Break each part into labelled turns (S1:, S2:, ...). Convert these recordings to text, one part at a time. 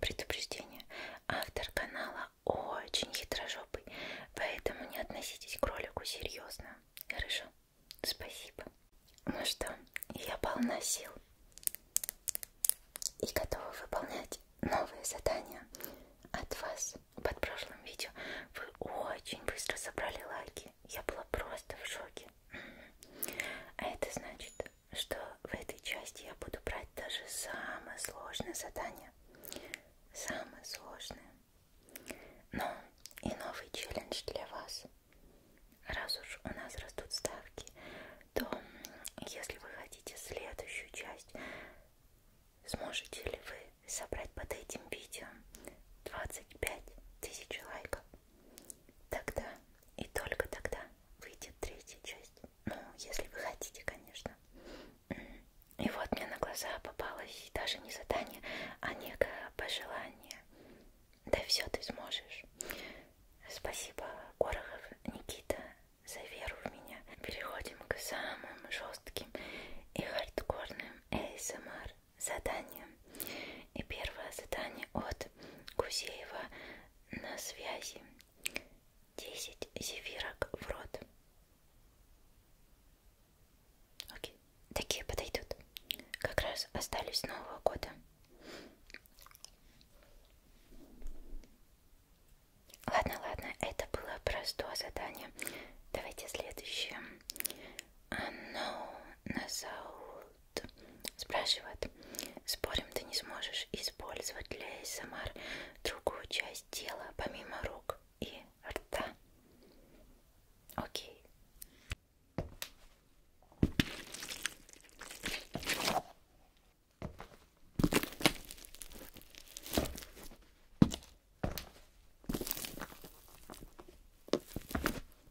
S1: Предупреждение. Автор канала очень хитрожопый, поэтому не относитесь к ролику серьезно. Хорошо? Спасибо. Ну что, я полна сил и готова выполнять новые задания от вас. Под прошлым видео вы очень быстро собрали лайки. Я была просто в шоке. А это значит, что в этой части я буду брать даже самое сложное задание. Самое сложное. Но и новый челлендж для вас. Раз уж у нас растут ставки, то если вы хотите следующую часть, сможете ли вы собрать под этим видео 25 тысяч лайков? Тогда и только тогда выйдет третья часть. Ну, если вы хотите, конечно. И вот мне на глаза попалось даже не задание, а некое пожелание. Да все ты сможешь. Спасибо, Горохов, Никита, за веру в меня. Переходим к самым жестким и хардкорным ASMR заданиям. И первое задание от Гузеева на связи десять зефирок в рот. Окей, такие подойдут. Как раз остались с Нового года. Ладно, ладно, это было простое задание. Давайте следующее. Оно насау спрашивает, спорим, ты не сможешь использовать для ASMR эм другую часть тела, помимо рук и рта? Окей.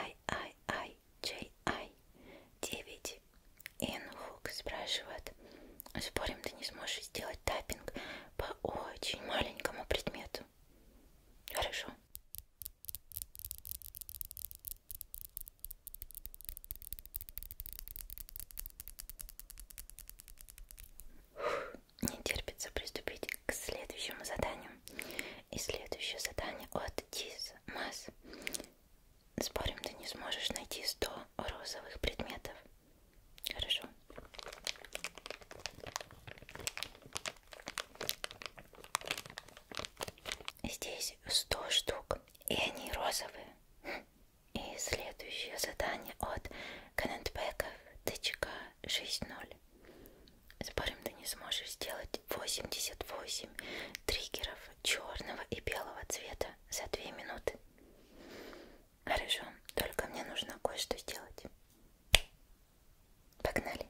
S1: Ай, ай, ай, чей, ай. Девять. Инхук спрашивает. Спорим, ты не сможешь сделать таппинг по очень маленькому предмету. Хорошо. Не терпится приступить к следующему заданию. И следующее задание от Диз Масс. Спорим, ты не сможешь найти 100 розовых предметов. Хорошо. Здесь 100 штук, и они розовые. И следующее задание от Канетбеков ТЧК 6.0. С парнем ты не сможешь сделать 88 триггеров черного и белого цвета за 2 минуты. Хорошо, только мне нужно кое-что сделать. Погнали.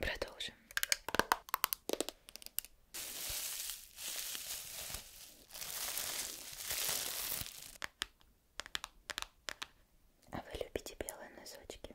S1: Продолжим. А вы любите белые носочки?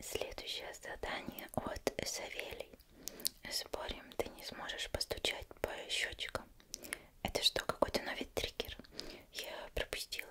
S1: Следующее задание от Савелий. Спорим, ты не сможешь постучать по щечкам. Это что, какой-то новый триггер? Я пропустила.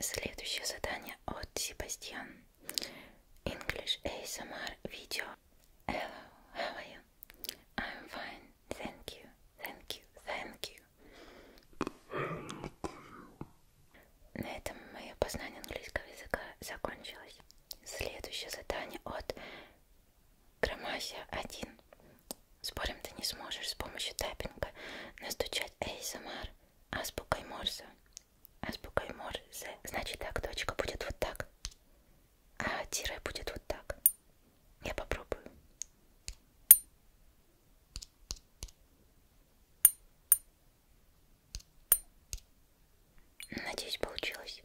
S1: Следующее задание от Себастьян. English ASMR video. Hello, how are you? I'm fine, thank you, thank you, thank you. На этом мое познание английского языка закончилось. Следующее задание от Громася 1. Спорим, ты не сможешь с помощью таппинга настучать ASMR азбукой Морзе. Азбукой Морзе. Значит так, точка будет вот так. А тире будет вот так. Я попробую. Надеюсь, получилось.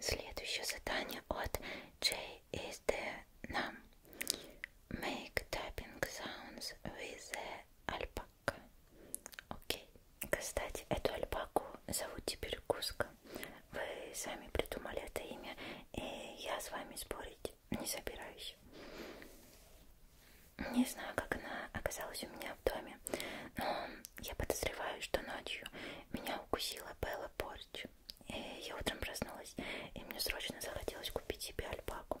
S1: Следующее задание от J is the Nam. Make tapping sounds with the alpaca. Окей. Okay. Кстати, эту альпаку зовут теперь Куска. Вы сами придумали это имя, и я с вами спорить не собираюсь. Не знаю, как она оказалась у меня в доме, но я подозреваю, что ночью меня укусила Белла Порч. И я утром проснулась, и мне срочно захотелось купить себе альпаку.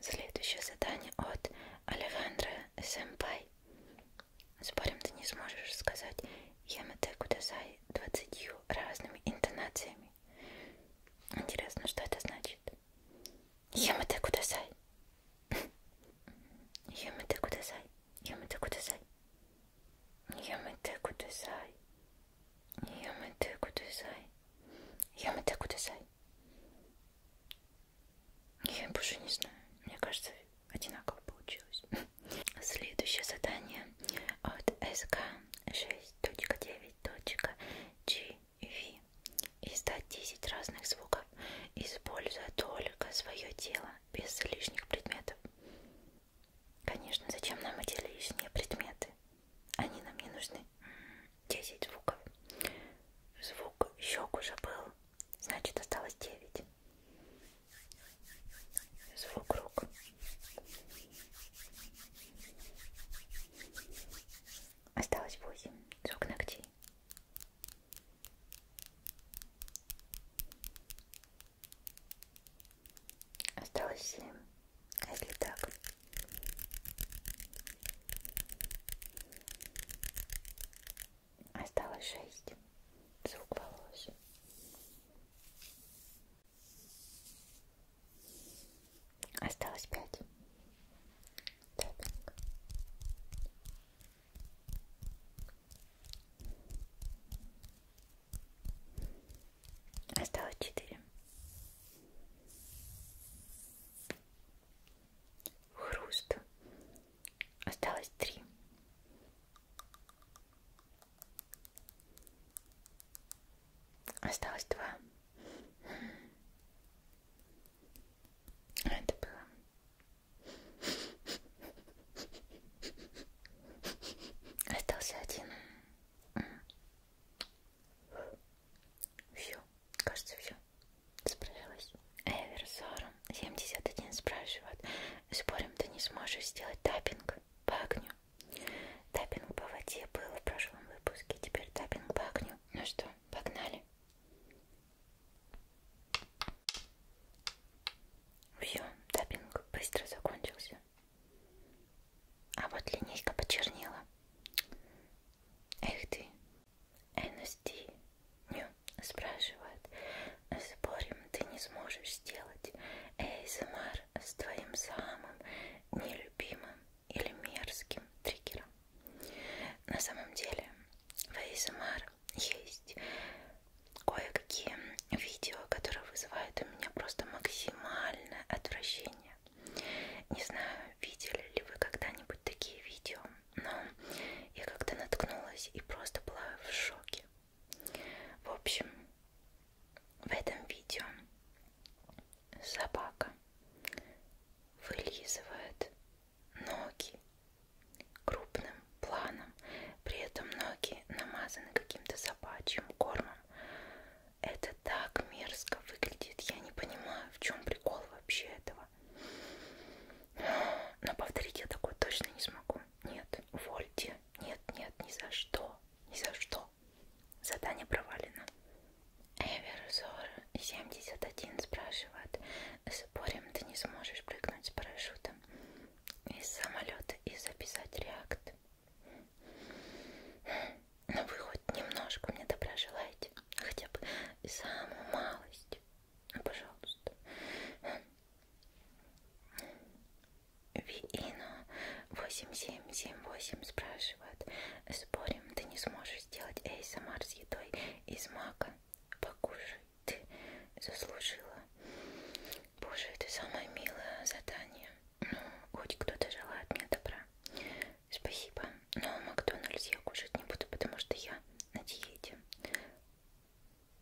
S1: Следующее задание от Алехандро Сэмпай. Спорим, ты не сможешь сказать Ямате Кудасай двадцатью разными интонациями. Интересно, что это значит? Ямате Кудасай. Ямате Кудасай. Ямате Кудасай. Ямате Кудасай. やめてくださいやめてください Я больше не знаю. Мне кажется, одинаково получилось. Следующее задание от СК 6.9.gv. Издать 10 разных звуков, используя только свое тело, без лишних предметов. Конечно, зачем нам эти лишние предметы? Они нам не нужны. 10 звуков. Звук щек уже был. Значит, осталось 9. Звук рук. Осталось 8. Звук ногтей. Осталось семь. А если так? Осталось шесть. Звук волос. Осталось пять. Таппинг. Осталось четыре. Хруст. Осталось три. Осталось два. Это было. Остался один. Все, кажется, все. Справилась. Эверсором 71 спрашивает. Спорим, ты не сможешь сделать таппинг по огню? Таппинг по воде был в прошлом выпуске, теперь таппинг по огню. Ну что, погнали? Вью, таппинг быстро закончился. А вот линейка почернела. Эх ты, NSD, Ню, спрашивает, спорим, ты не сможешь сделать ASMR с твоим самым нелюбимым или мерзким триггером. На самом деле, в ASMR есть кое-какие видео, которые вызывают у меня просто максимальное отвращение. Не знаю, видели ли вы когда-нибудь такие видео, но я как-то наткнулась и просто была в шоке. В общем, в этом видео собака вылизывает ноги крупным планом, при этом ноги намазаны каким-то собачьим кормом. Это так мерзко выглядит, я не понимаю, в чем прикол вообще этого. Но повторить я такое точно не смогу. Нет, увольте. Нет, нет, ни за что. Ни за что. Задание провалено. Эверзор 71 спрашивает. Спорим, ты не сможешь прыгнуть с парашюта? самолета, из самолета и записать реакт. Но ну, вы хоть немножко мне добра желаете, хотя бы самую малость, пожалуйста. Виина 8778 спрашивает, спорим, ты не сможешь сделать ASMR с едой из мака? Покушай ты заслужила. Боже, это самое милое задание. Ну, хоть кто-то желает мне добра. Спасибо. Но Макдональдс я кушать не буду, потому что я на диете.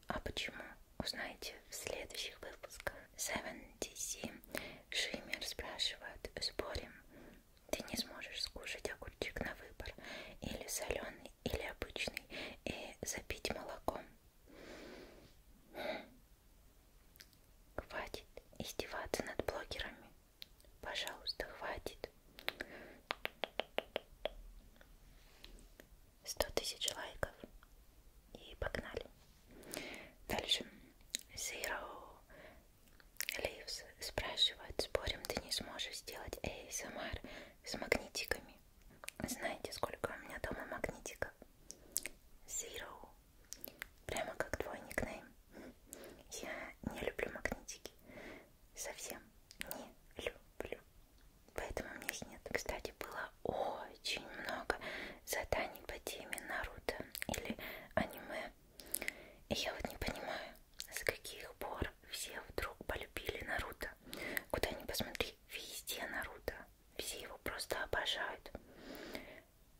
S1: А почему? Узнаете в следующих выпусках. 7DC Шиммер спрашивает, спорим, ты не сможешь скушать огурчик на выбор или соленый, или обычный и запить молоком. Хватит издеваться над блогерами. Пожалуйста, хватит. 100 тысяч лайков. И погнали. Дальше. Zero leaves нас спрашивают, спорим, ты не сможешь сделать ASMR с магнитиками. Знаете, сколько у меня дома магнитиков? Zero. Прямо как твой никнейм. Я не люблю магнитики. Совсем не люблю. Поэтому у меня их нет. Кстати, было очень много заданий по теме Наруто или аниме. И я вот не понимаю, с каких пор все вдруг полюбили Наруто? Куда ни посмотри, везде Наруто. Все его просто обожают.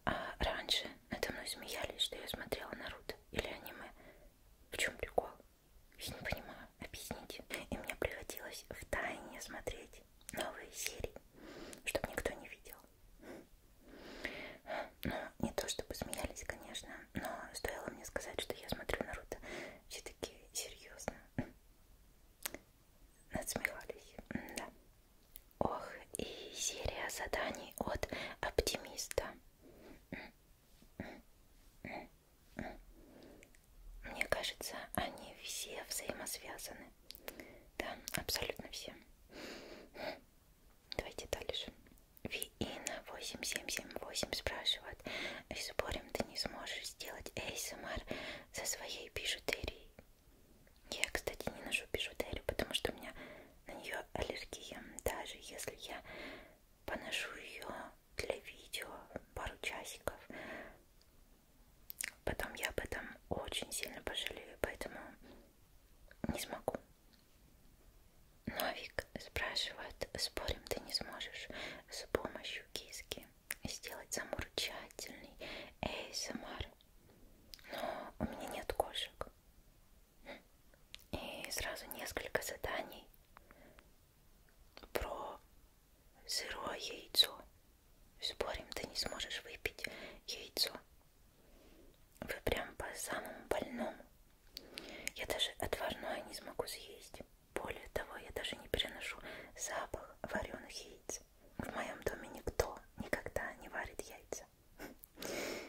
S1: А раньше надо мной смеялись, что я смотрела Наруто или аниме. В чем прикол? Я не понимаю. Объясните. И мне приходилось в тайне смотреть новые серии, чтобы никто не видел. Но ну, не то чтобы смеялись, конечно, но стоило мне сказать, что я смотрю Наруто, все таки серьезно надсмехались, да. Ох, и серия заданий от оптимиста. Мне кажется, они все взаимосвязаны. Да, абсолютно все. Давайте дальше. Виина 8778 спрашивает. Спорим, ты не сможешь сделать ASMR со своей бижутерией? Я, кстати, не ношу бижутерию, потому что у меня на нее аллергия. Даже если я поношу ее для видео пару часиков, потом я об этом очень сильно пожалею, поэтому не смогу. Новик спрашивает, спорим, ты не сможешь с помощью киски сделать замурчательный ASMR? Но у меня нет кошек. И сразу несколько заданий про сырое яйцо. Спорим, ты не сможешь выпить яйцо. Вы прям по самому больному. Я даже отварное не смогу съесть. Более того, я даже не переношу запах вареных яиц. В моем доме никто никогда не варит яйца.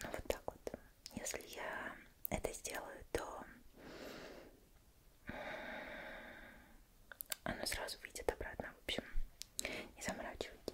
S1: Ну вот так вот. Если я это сделаю, то оно сразу выйдет обратно. В общем, не заморачивайтесь.